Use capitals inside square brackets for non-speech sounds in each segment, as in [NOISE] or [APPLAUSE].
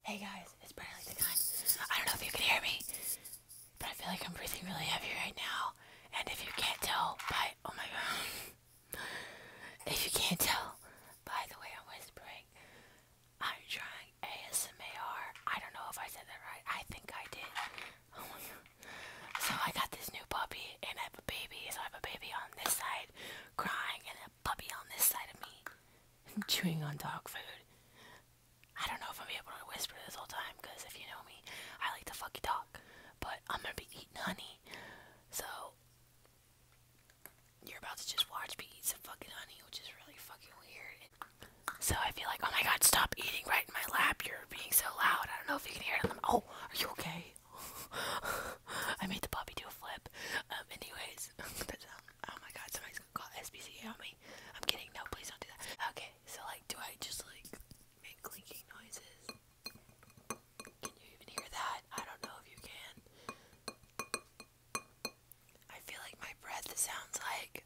Hey guys, it's Bradley the Gun. I don't know if you can hear me, but I feel like I'm breathing really heavy right now. And if you can't tell by oh my god, [LAUGHS] if you can't tell by the way I'm whispering, I'm trying ASMR. I don't know if I said that right. I think I did. [LAUGHS] Oh so I got this new puppy, and I have a baby. So I have a baby on this side crying, and puppy on this side of me chewing on dog food. I don't know if I'm able to whisper this whole time because if you know me, I like to fucking talk. But I'm gonna be eating honey. So, you're about to just watch me eat some fucking honey, which is really fucking weird. So I feel like, oh my god, stop eating right in my lap. You're being so loud. I don't know if you can hear them. Oh, are you okay? [LAUGHS] I made the puppy do a flip. Um, anyways, that's, [LAUGHS] that's oh my god, somebody's gonna call SPCA on me. I'm kidding, no, please don't do that. Okay, so like, do I just like make clinking noises? Can you even hear that? I don't know if you can. I feel like my breath sounds like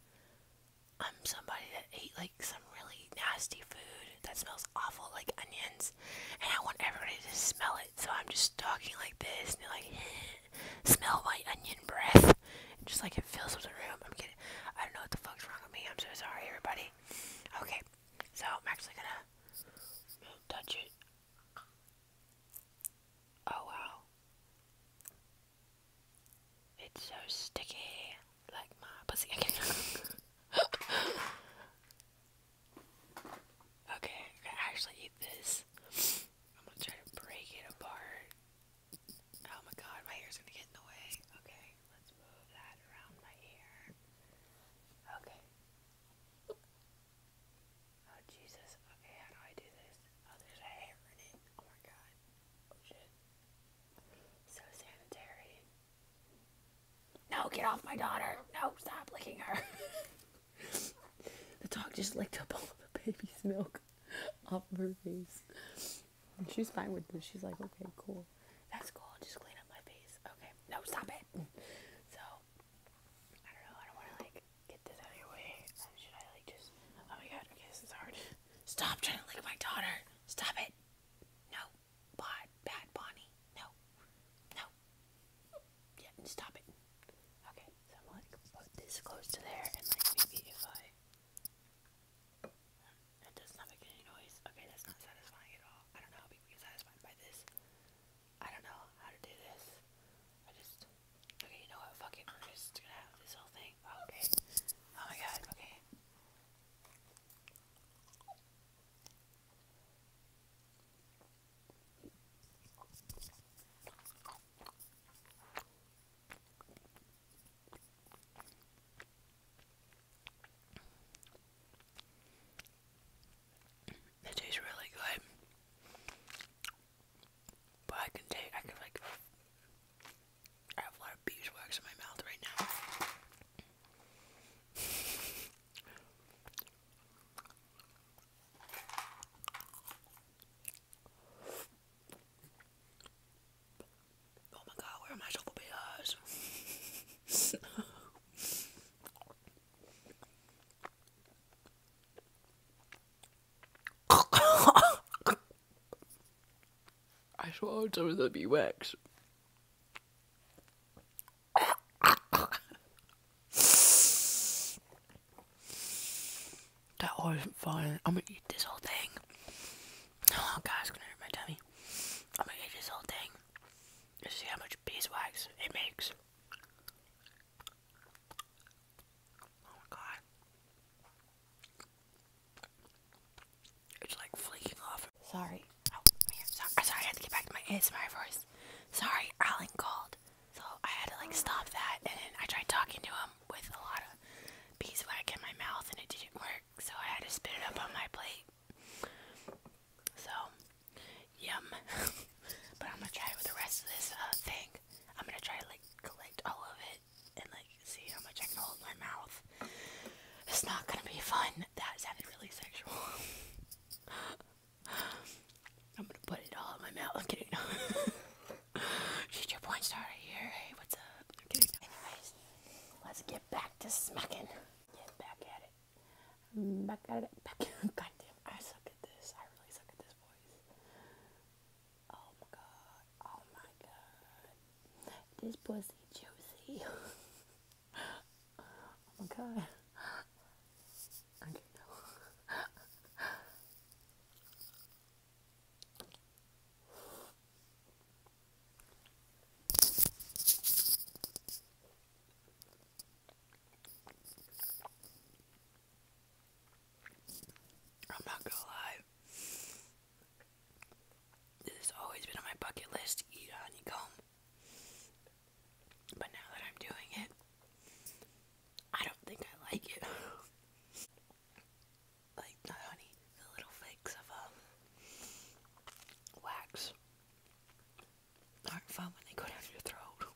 I'm somebody that ate like some really nasty food that smells awful, like onions, and I want everybody to smell it. So I'm just talking like this, and you're like, smell my onion breath. just like it fills up the room. I'm getting I don't know what the fuck's wrong with me. I'm so sorry, everybody. Okay, so I'm actually gonna touch it. Oh wow. It's so sticky, like my pussy. [LAUGHS] okay, I'm gonna actually eat this. I'm gonna try to break it apart. Oh my god, my hair's gonna get in the way. Okay, let's move that around my hair. Okay. Oh Jesus. Okay, how do I do this? Oh, there's a hair in it. Oh my god. Oh shit. So sanitary. No, get off my daughter. No, stop licking her. [LAUGHS] The dog just licked up all the baby's milk off of her face. And she's fine with this. She's like, okay, cool. That's cool. I'll just clean up my face. Okay. No, stop it. [LAUGHS] So, I don't know. I don't want to, like, get this out of your way. Should I, like, just. Oh my god. Okay, this is hard. Stop trying to lick my daughter. Stop it. No. Bad, bad Bonnie. No. No. Yeah, stop it. Okay, so I'm like put this close to there and like maybe if I it does not make any noise. Okay, that's not satisfying at all. I don't know how people get satisfied by this. I don't know how to do this. I just okay, you know what? Fuck it. We're just gonna have this whole thing. Okay. Oh my god. Okay. It tastes really good, but I can take. I can like. have a lot of beeswax in my mouth right now. Oh my god, where are my shovel bears? [LAUGHS] I swallowed some of the beeswax. That wasn't fine. I'm gonna eat this whole thing. Oh god, it's gonna hurt my tummy. I'm gonna eat this whole thing. Let's see how much beeswax it makes. Oh my god. It's like flaking off. Sorry. Oh, Sorry. I had to get back to my ASMR voice. Sorry, Alan called. So I had to like stop that and then I tried talking to him with a lot of beeswax in my mouth and it didn't work. So I had to spit it up on my plate. So, yum. [LAUGHS] but I'm gonna try it with the rest of this uh, thing. I'm gonna try to like collect all of it and like see how much I can hold my mouth. It's not gonna be fun. That sounded really sexual. [LAUGHS] I'm gonna put it all in my mouth. I'm kidding. [LAUGHS] your porn star here. Hey, what's up? i Anyways, let's get back to smacking. Get back at it. Back at it. Back it. [LAUGHS] Goddamn, I suck at this. I really suck at this voice. Oh my god. Oh my god. This pussy juicy. [LAUGHS] oh my god. I don't know. I'm am not going to lie. This has always been on my bucket list to eat honeycomb. But now that I'm doing it, I don't think I like it. [LAUGHS] like the honey, the little flakes of um, wax aren't fun when they go down your throat.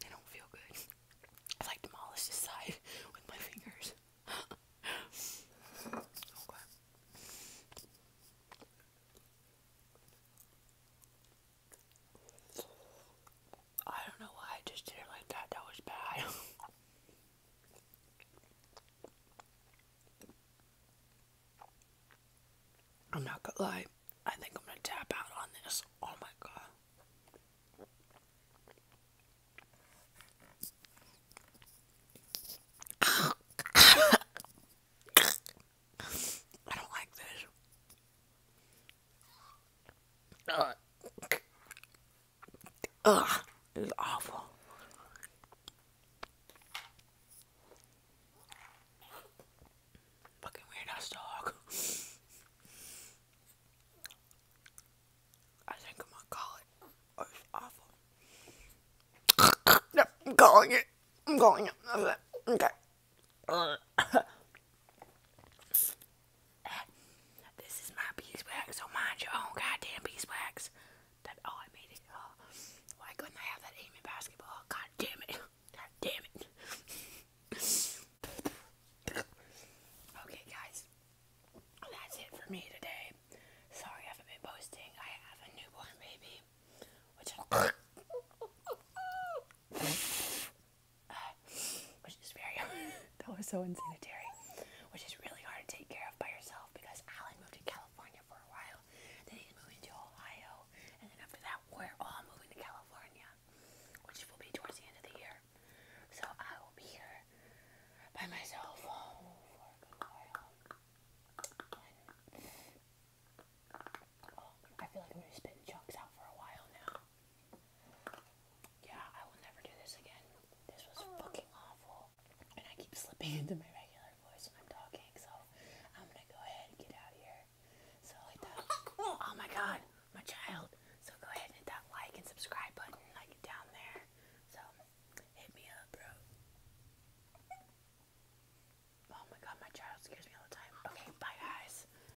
They don't feel good. I like demolish this side [LAUGHS] with my fingers. [LAUGHS] I don't know why I just did it like that. That was bad. [LAUGHS] I'm not gonna lie. I think I'm gonna tap out on this. Oh my god. [COUGHS] I don't like this. Ugh. Ugh. It awful. Fucking weird ass dog. I think I'm gonna call it. Oh, it's awful. [COUGHS] no, I'm calling it. I'm calling it. Okay. [COUGHS] this is my beeswax, so mind your own goddamn beeswax. That oh, I made oh. why couldn't I have that aim basketball? God damn it! God damn it! okay, guys, that's it for me today. Sorry, I haven't been posting. I have a newborn baby, [SIGHS] which is very [LAUGHS] that was so unsanitary. which is really hard to take care of by yourself because Alan moved to California for a while, then he's moved to Ohio, and then after that we're all moving to California, which will be towards the end of the year. So I will be here by myself for a while. I feel like I'm gonna spit chunks out for a while now. Yeah, I will never do this again. This was fucking awful. And I keep slipping into my regular voice when I'm talking, so I'm gonna go ahead and get out of here. So hit that [LAUGHS] Oh my god, my child. So go ahead and hit that like and subscribe button like down there. So hit me up, bro. Oh my god, my child scares me all the time. Okay, bye guys.